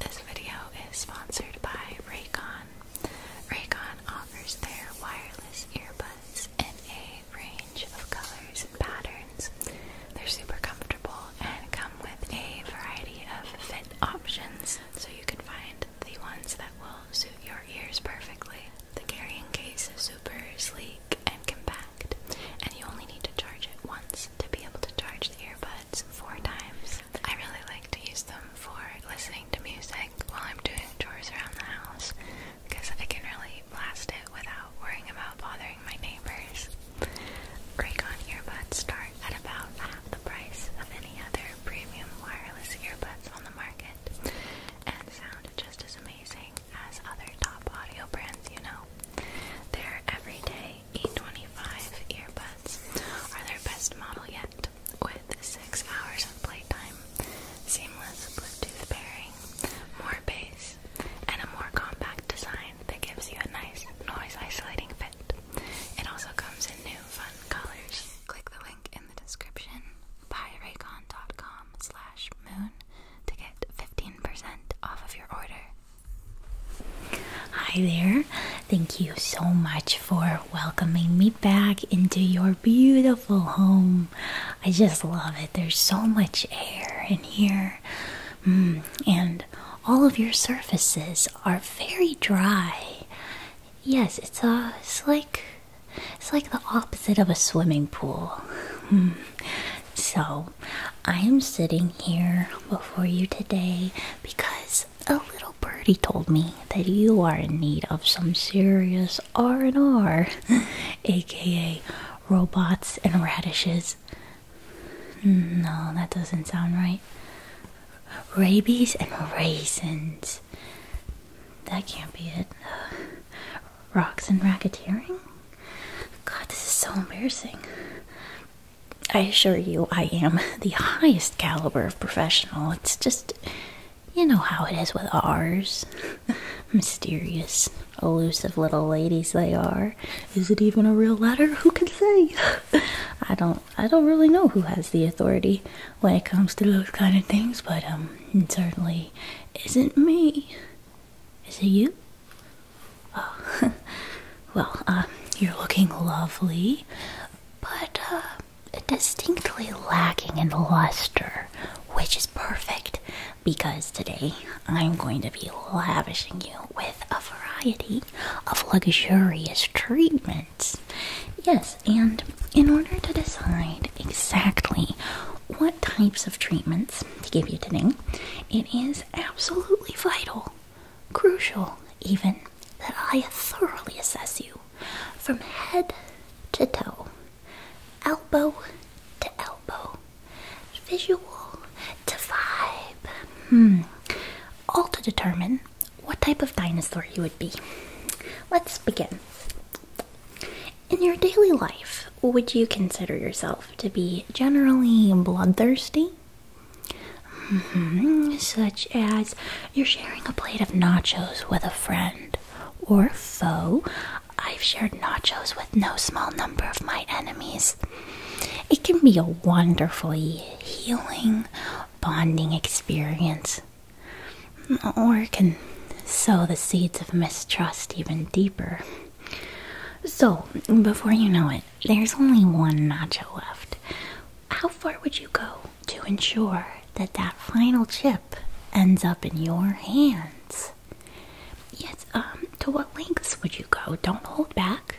This video is sponsored by Raycon. Raycon offers their wireless earbuds in a range of colors and patterns. They're super comfortable and come with a variety of fit options, so you can find the ones that will suit your ears perfectly. The carrying case is super sleek and compact, and you only need to charge it once to be able to charge the earbud AirPods four times. I really like to use them for listening to music while I'm doing chores around the house because I can really blast it without worrying about bothering my neighbors. Raycon earbuds start at about half the price of any other premium wireless earbuds on the market and sound just as amazing as other top audio brands you know. Their everyday e earbuds are their best model yet, with 6 hours of playtime, seamless Bluetooth pairing, more bass, and a more compact design that gives you a nice noise isolating fit. It also comes in new fun colors. Click the link in the description, buyraycon.com slash moon to get 15% off of your order. Hi there. Thank you so much for welcoming me back into your beautiful home. I just love it. There's so much air in here. Mm, and all of your surfaces are very dry. Yes, it's a uh, it's like it's like the opposite of a swimming pool. Mm. So, I am sitting here before you today because a little birdie told me that you are in need of some serious R&R, aka robots and radishes. No, that doesn't sound right. Rabies and raisins. That can't be it. rocks and racketeering? God, this is so embarrassing. I assure you, I am the highest caliber of professional. It's just, you know how it is with ours. Mysterious, elusive little ladies they are. Is it even a real letter? Who can say? I don't. I don't really know who has the authority when it comes to those kind of things. But um, it certainly isn't me. Is it you? well, uh, you're looking lovely, but uh, distinctly lacking in luster, which is perfect because today I'm going to be lavishing you with a variety of luxurious treatments. Yes, and in order to decide exactly what types of treatments to give you today, it is absolutely vital Crucial, even, that I thoroughly assess you from head to toe, elbow to elbow, visual to vibe, hmm. all to determine what type of dinosaur you would be. Let's begin. In your daily life, would you consider yourself to be generally bloodthirsty? Mm-hmm. Such as you're sharing a plate of nachos with a friend or foe. I've shared nachos with no small number of my enemies. It can be a wonderfully healing, bonding experience, or it can sow the seeds of mistrust even deeper. So, before you know it, there's only one nacho left. How far would you go to ensure that that final chip ends up in your hands? Yes, um, to what lengths would you go? Don't hold back.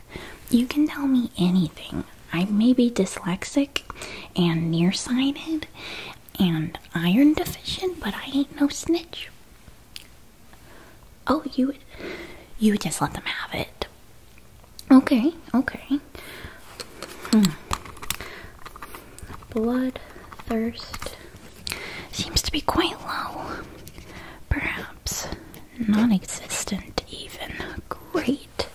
You can tell me anything. I may be dyslexic and nearsighted and iron deficient, but I ain't no snitch. Oh, you you would just let them have it. Okay, okay. Hmm. Blood thirst seems to be quite low. Perhaps non existent, even. Great.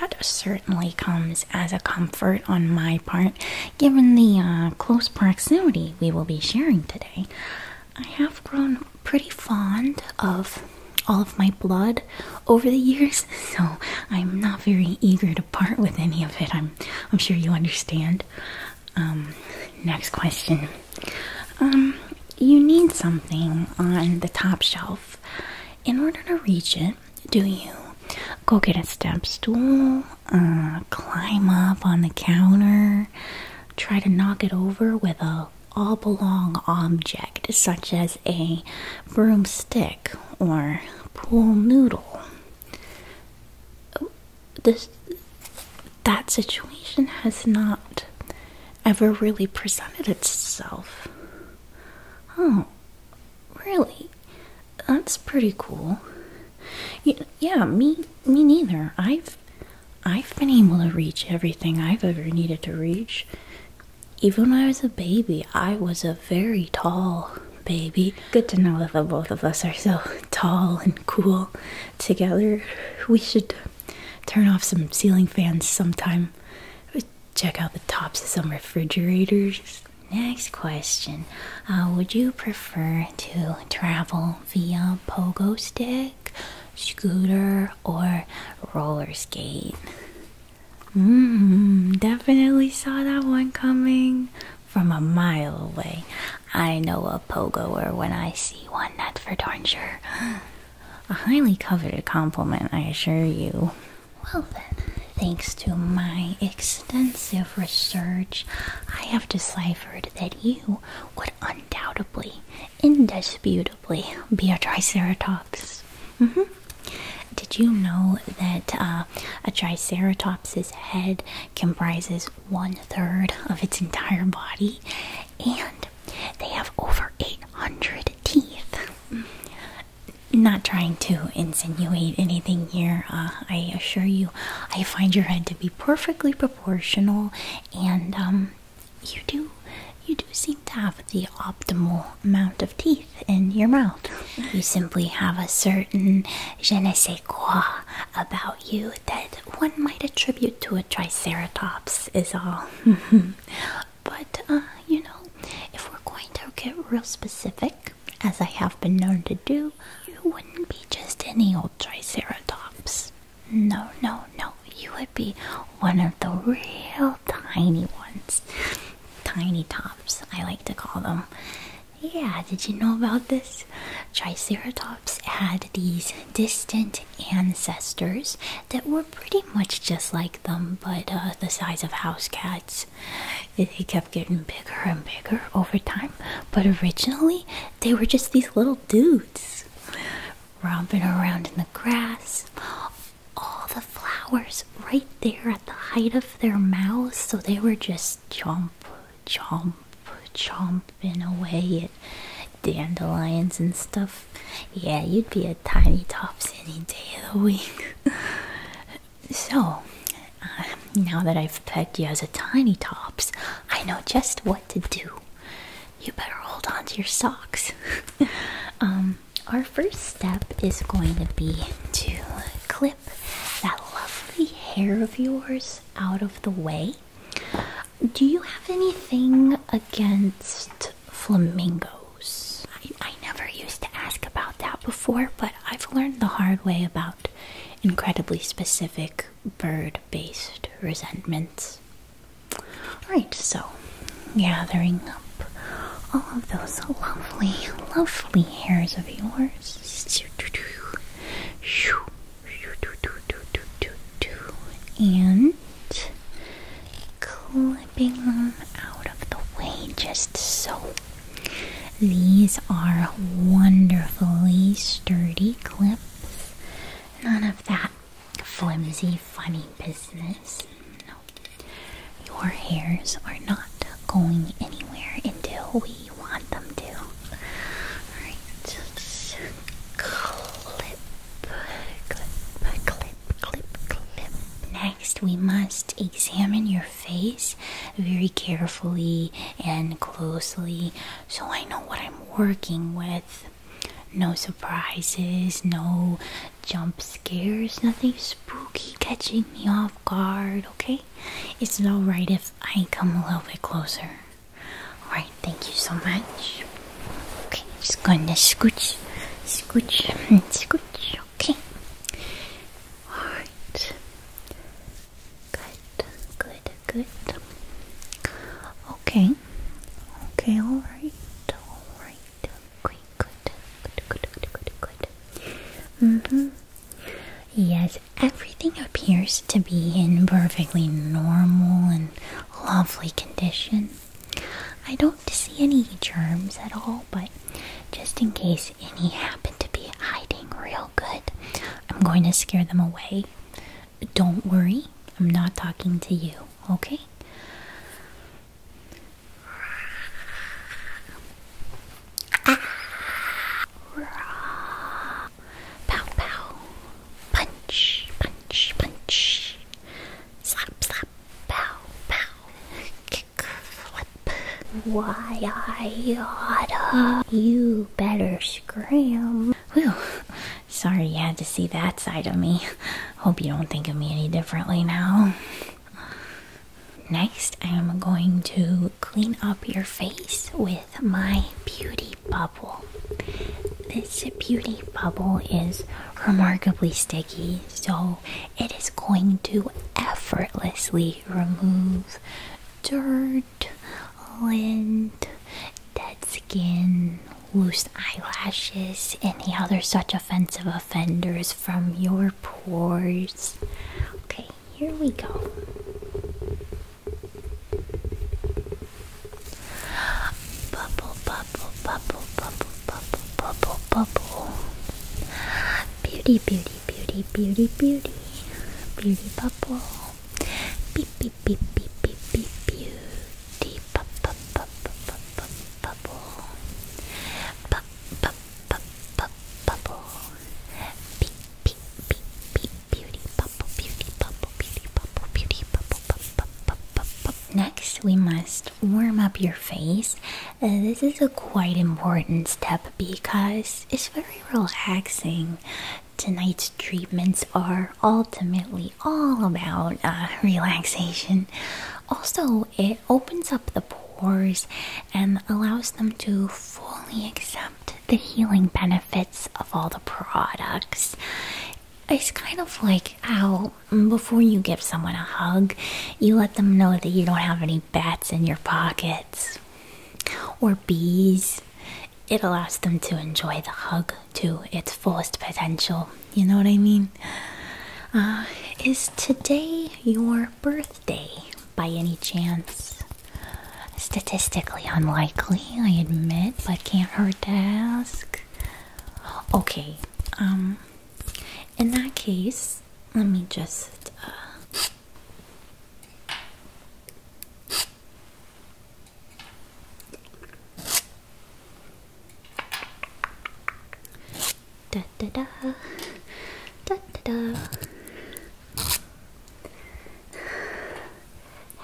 That certainly comes as a comfort on my part, given the uh, close proximity we will be sharing today. I have grown pretty fond of all of my blood over the years, so I'm not very eager to part with any of it. I'm I'm sure you understand. Um, next question. Um, you need something on the top shelf. In order to reach it, do you go get a step stool, uh, climb up on the counter, try to knock it over with a all belong object, such as a broomstick or pool noodle. This, that situation has not ever really presented itself. Oh, really? That's pretty cool. Yeah, me, me neither. I've, I've been able to reach everything I've ever needed to reach. Even when I was a baby, I was a very tall baby. Good to know that the both of us are so tall and cool together. We should turn off some ceiling fans sometime. Check out the tops of some refrigerators. Next question uh, Would you prefer to travel via pogo stick? scooter, or roller skate. Mmm, definitely saw that one coming from a mile away. I know a pogoer when I see one, Not for darn sure. A highly coveted compliment, I assure you. Well, then, thanks to my extensive research, I have deciphered that you would undoubtedly, indisputably, be a triceratops. Mm-hmm. Did you know that uh, a triceratops's head comprises one third of its entire body, and they have over 800 teeth? Not trying to insinuate anything here. Uh, I assure you, I find your head to be perfectly proportional, and um, you do you do seem to have the optimal amount of teeth in your mouth. you simply have a certain je ne sais quoi about you that one might attribute to a triceratops is all. but uh, you know, if we're going to get real specific, as I have been known to do, you wouldn't be just any old triceratops. No, no, no. You would be one of the real tiny ones. Tiny tops, I like to call them. Yeah, did you know about this? Triceratops had these distant ancestors that were pretty much just like them, but uh, the size of house cats. They kept getting bigger and bigger over time, but originally they were just these little dudes romping around in the grass. All the flowers right there at the height of their mouths, so they were just chomp, chomp, chomping away at dandelions and stuff. Yeah, you'd be a tiny tops any day of the week. so, uh, now that I've pegged you as a tiny tops, I know just what to do you better hold on to your socks. Um, our first step is going to be to clip that lovely hair of yours out of the way. Do you have anything against flamingos? I never used to ask about that before, but I've learned the hard way about incredibly specific bird based resentments. Alright, so gathering up all of those lovely, lovely hairs of yours. And clipping them out of the way just so. These are wonderfully sturdy clips. None of that flimsy, funny business. No. Your hairs are not going anywhere until we want them to. Alright, just clip, clip, clip, clip, clip. Next, we must examine your face very carefully and closely so I know what I'm working with. No surprises, no jump scares, nothing spooky catching me off guard, okay? is it alright if I come a little bit closer. Alright, thank you so much. Okay, just going to scooch, scooch, and scooch, okay? Alright. Good, good, good. Okay, Okay. alright, alright. good, good, good, good, good, good. Mm-hmm. Yes, everything appears to be in perfectly normal and lovely condition. I don't see any germs at all, but just in case any happen to be hiding real good, I'm going to scare them away. Don't worry, I'm not talking to you, okay? Pow pow. Punch, punch, punch. Slap, slap. Pow, pow. Kick, flip. Why, I You better scram. Whew. Sorry you had to see that side of me. Hope you don't think of me any differently now. Next, I am going to clean up your face with my beauty bubble. This beauty bubble is remarkably sticky, so it is going to effortlessly remove dirt, lint, dead skin, loose eyelashes, any other such offensive offenders from your pores. Okay, here we go. Bubble, bubble, bubble, bubble, bubble, bubble, bubble. Beauty, beauty, beauty, beauty, beauty. Beauty bubble. Beep, beep, beep, beep, beep, beep, beauty beauty bubble, beauty bubble, beauty bubble, beauty bubble, Next, we must warm up your face. this is a quite important step because it's very relaxing. Tonight's treatments are ultimately all about uh, relaxation. Also, it opens up the pores and allows them to fully accept the healing benefits of all the products. It's kind of like how mm, before you give someone a hug, you let them know that you don't have any bats in your pockets or bees. It allows them to enjoy the hug to its fullest potential. You know what I mean? Uh, is today your birthday by any chance? Statistically unlikely, I admit, but can't hurt to ask. Okay, um, in that case, let me just. Uh, Da da da. Da da da.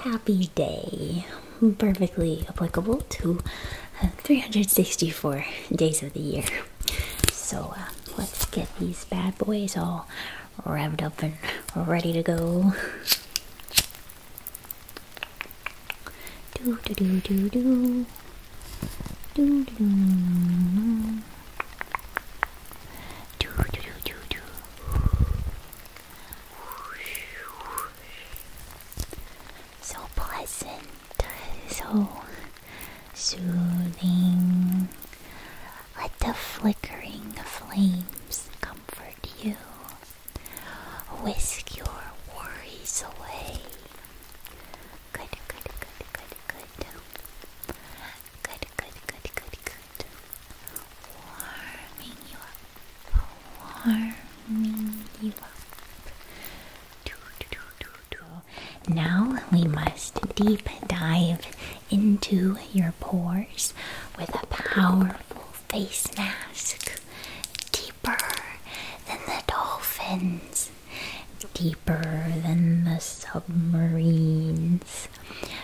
Happy day. Perfectly applicable to uh, 364 days of the year. So uh, let's get these bad boys all revved up and ready to go. Do do do do do. Do do do do. Do do do do do. So pleasant, so soothing. Let the flickering flames comfort you, whisk your worries away. Good, good, good, good, good. Good, good, good, good, good. Warming you up. Warming you up. Now we must deep dive into your pores with a powerful face mask, deeper than the dolphins, deeper than the submarines.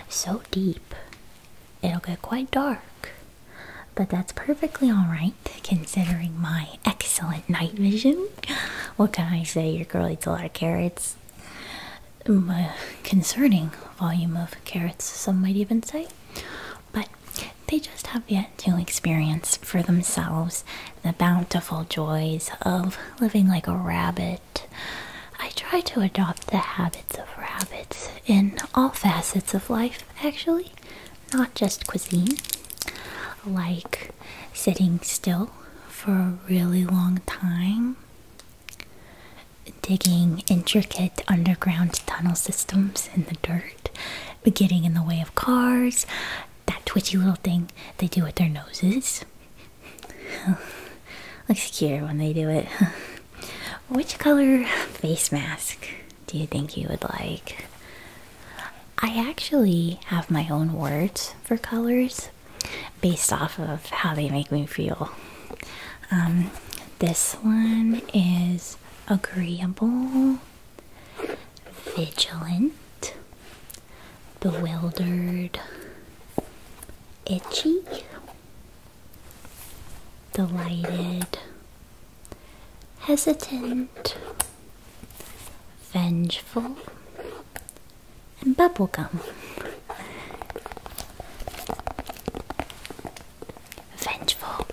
So deep, it'll get quite dark. But that's perfectly alright considering my excellent night vision. What can I say? Your girl eats a lot of carrots. Mm, uh, concerning volume of carrots, some might even say but they just have yet to experience for themselves the bountiful joys of living like a rabbit. I try to adopt the habits of rabbits in all facets of life, actually, not just cuisine, like sitting still for a really long time. Digging intricate underground tunnel systems in the dirt but getting in the way of cars, that twitchy little thing they do with their noses. Looks cute when they do it. Which color face mask do you think you would like? I actually have my own words for colors based off of how they make me feel. Um, this one is agreeable vigilant, bewildered, itchy, delighted, hesitant, vengeful, and bubblegum. Vengeful.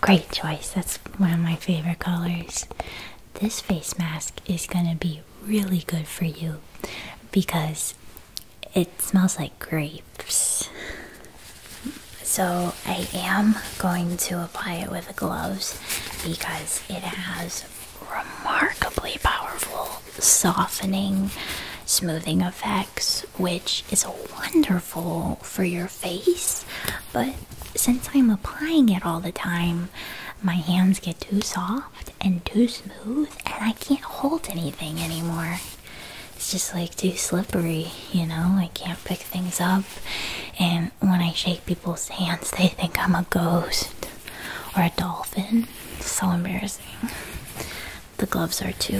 Great choice. That's one of my favorite colors. This face mask is gonna be really good for you because it smells like grapes. So I am going to apply it with gloves because it has remarkably powerful softening, smoothing effects, which is wonderful for your face, but since I'm applying it all the time, my hands get too soft and too smooth, and I can't hold anything anymore. It's just like too slippery, you know? I can't pick things up, and when I shake people's hands, they think I'm a ghost or a dolphin. It's so embarrassing. The gloves are to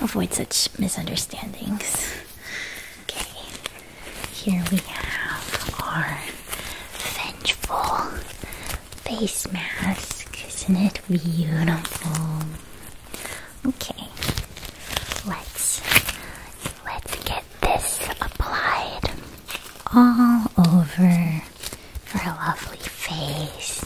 avoid such misunderstandings. Okay, here we have our vengeful face mask. Isn't it beautiful? Okay, let's let's get this applied all over your lovely face.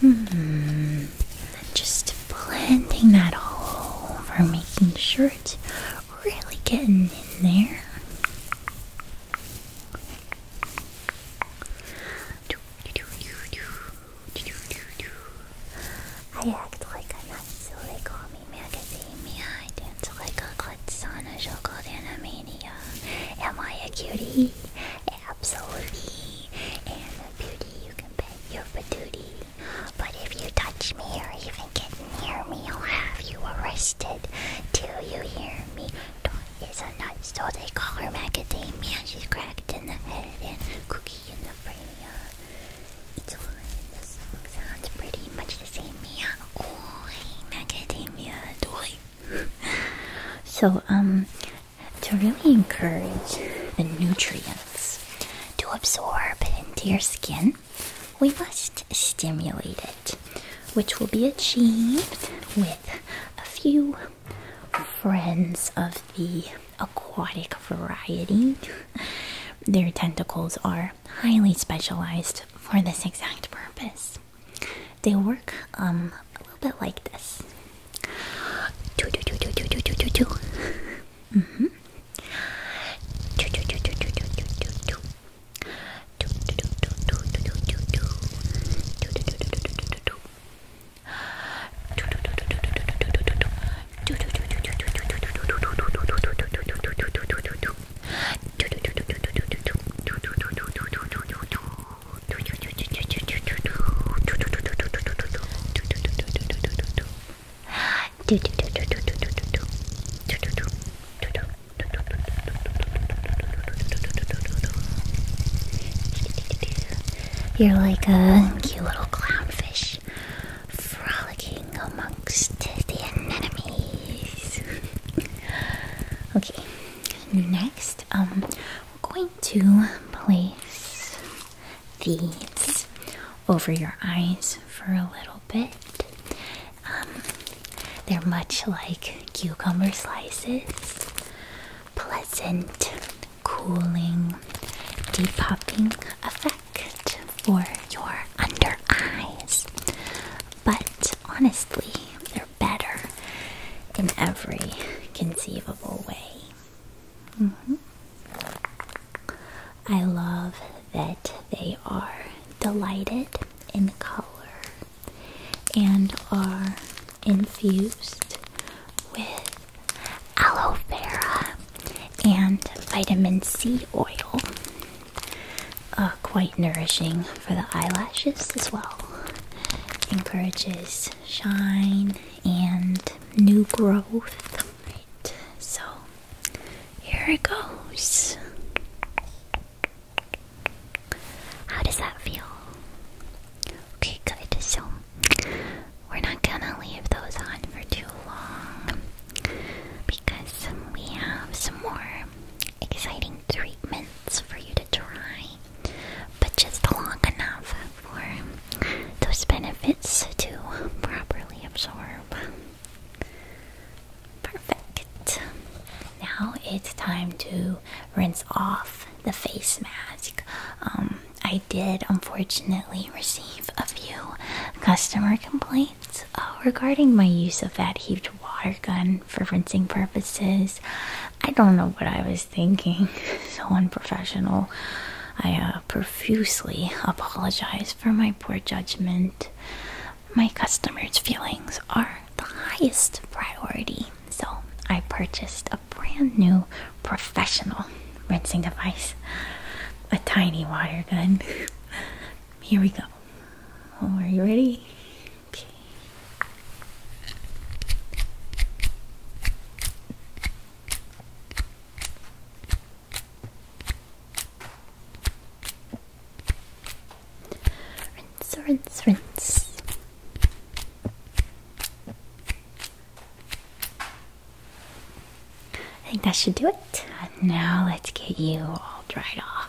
Hmm. And just blending that all over, making sure it's really getting in there. I act like I'm not silicone. I dance like a a kutsana shoko animania. Am I a cutie? Absolutely. And a beauty you can bet your patootie. But if you touch me or even get near me, I'll have you arrested. Till you hear me. Dot is a nut, so they call her macadamia. She's cracked in the head and cookie in the brain. It's all in the song sounds pretty much the same, Mia. Oi, macadamia doy. So, um, to really encourage the nutrients to absorb into your skin, we must stimulate it, which will be achieved with a few friends of the aquatic variety. Their tentacles are highly specialized for this exact purpose. They work a little bit like this. You're like a cute little clownfish frolicking on my to the anemones. okay, next, um, we're going to place these over your eyes for a little bit. Um, they're much like cucumber slices. Pleasant, cooling, depuffing effect for your under eyes, but honestly, they're better in every conceivable way. Mm-hmm. I love that they are delighted in color and are infused with aloe vera and vitamin C oil uh, quite nourishing for the eyelashes as well. Encourages shine and new growth. so here it goes. How does that feel? Okay, good. So we're not gonna leave those on for too long because we have some more exciting treatments for you to try, but just long enough for those benefits to properly absorb. Perfect. Now it's time to rinse off the face mask. Um, I did unfortunately receive a few customer complaints right, uh, regarding my use of that heaped water gun for rinsing purposes, I don't know what I was thinking. so unprofessional. I uh, profusely apologize for my poor judgment. My customers' feelings are the highest priority, so I purchased a brand new professional rinsing device a tiny water gun. Here we go. Oh, are you ready? Okay. Rinse, rinse, rinse. I think that should do it. Now let's get you all dried off.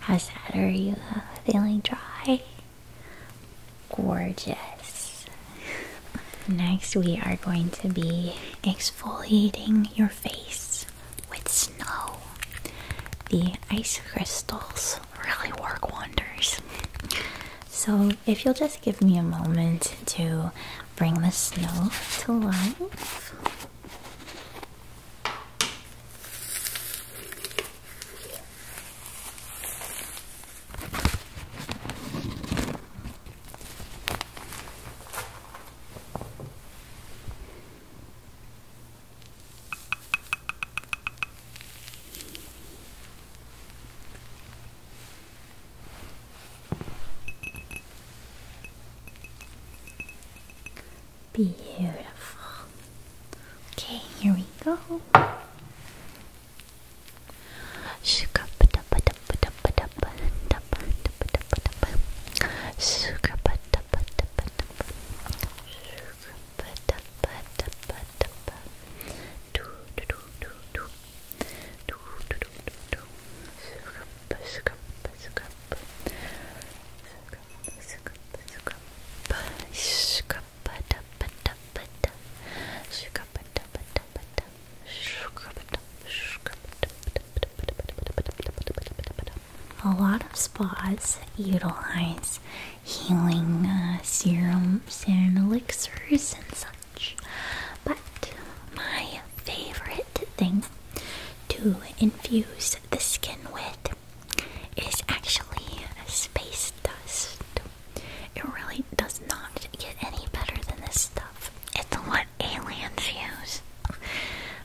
How's that? Are you feeling dry? Gorgeous. Next, we are going to be exfoliating your face with snow. The ice crystals really work wonders. So, if you'll just give me a moment to bring the snow to life. Beautiful. Okay, here we go. A lot of spas utilize healing uh, serums and elixirs and such. But my favorite thing to infuse the skin with is actually space dust. It really does not get any better than this stuff. It's what aliens use.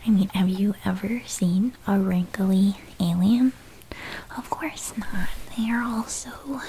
I mean, have you ever seen a wrinkly alien? Of course not. They are all so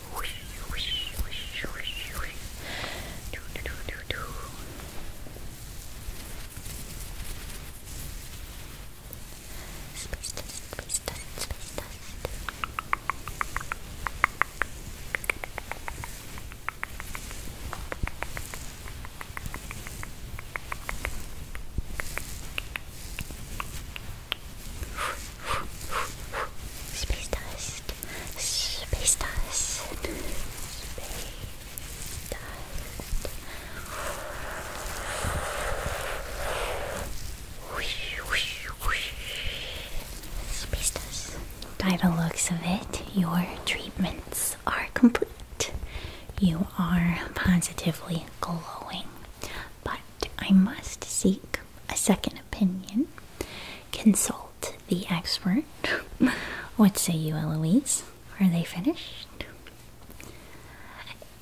Space dust, space dust, space dust. Space dust. Space dust. Space dust. By the looks of it, your treatments are complete. You are positively glowing. But I must seek a second opinion. Consult the expert. what say you, Eloise? Are they finished?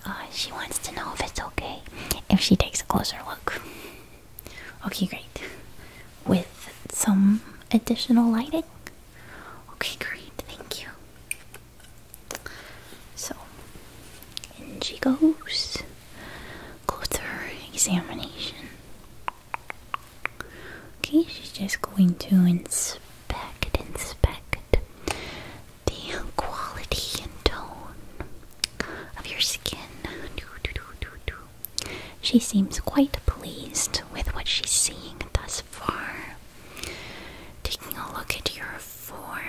Uh, she wants to know if it's okay if she takes a closer look. Okay, great. With some additional lighting? Okay, great. Thank you. So, in she goes. Closer examination. Okay, she's just going to inspect, inspect the quality and tone of your skin. She seems quite pleased with what she's seeing thus far. Taking a look at your forehead,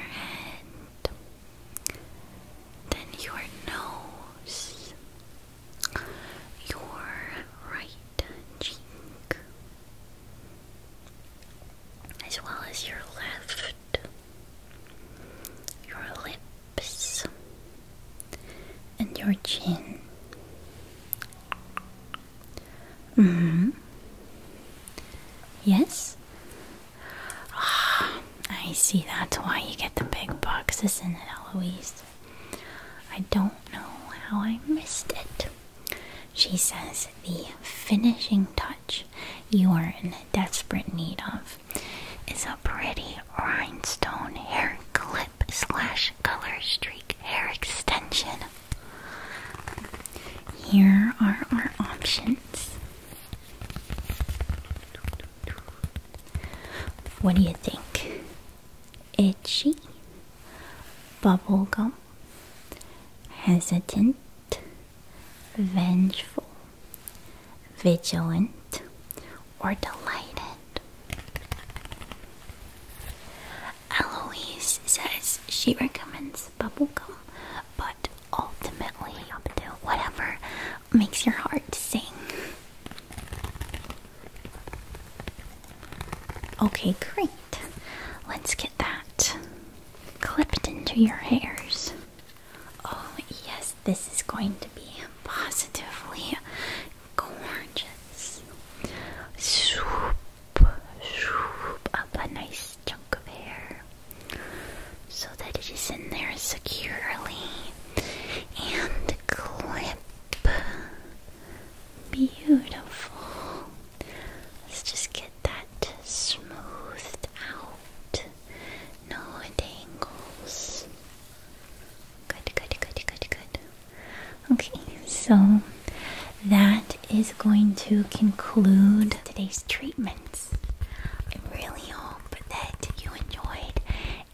then your nose, your right cheek, as well as your left, your lips, and your chin. hmm. Yes? Ah, I see. That's why you get the big boxes in it, Eloise? I don't know how I missed it. She says the finishing touch you are in desperate need of is a pretty rhinestone hair clip slash color streak hair extension. Here are our options. What do you think? Itchy, bubblegum, hesitant, vengeful, vigilant, or delighted? Eloise says she recommends bubblegum, but ultimately, up to whatever makes your heart sing. Okay, great. Let's get that clipped into your hairs. Oh, yes, this is going to be positively gorgeous. Swoop, swoop up a nice chunk of hair so that it is in there securely and clip. Beautiful. Let's just get that smoothed out. No tangles. Good, good, good, good, good. Okay, so that is going to conclude today's treatments. I really hope that you enjoyed,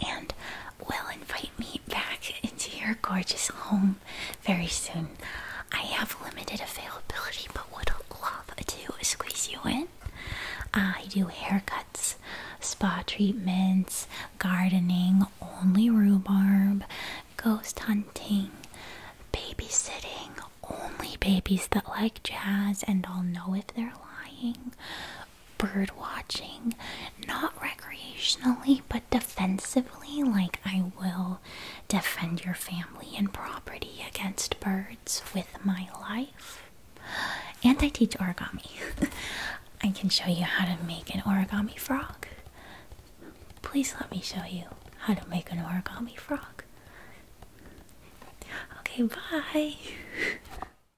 and will invite me back into your gorgeous home very soon. I have limited availability, but would love to squeeze you in. I do haircuts, spa treatments, gardening, only rhubarb, ghost hunting, babysitting, only babies that like jazz and I'll know if they're lying, bird watching, not recreationally but defensively. Like, I will defend your family and property against birds with my life. And I teach origami. I can show you how to make an origami frog. Please let me show you how to make an origami frog. Okay, bye.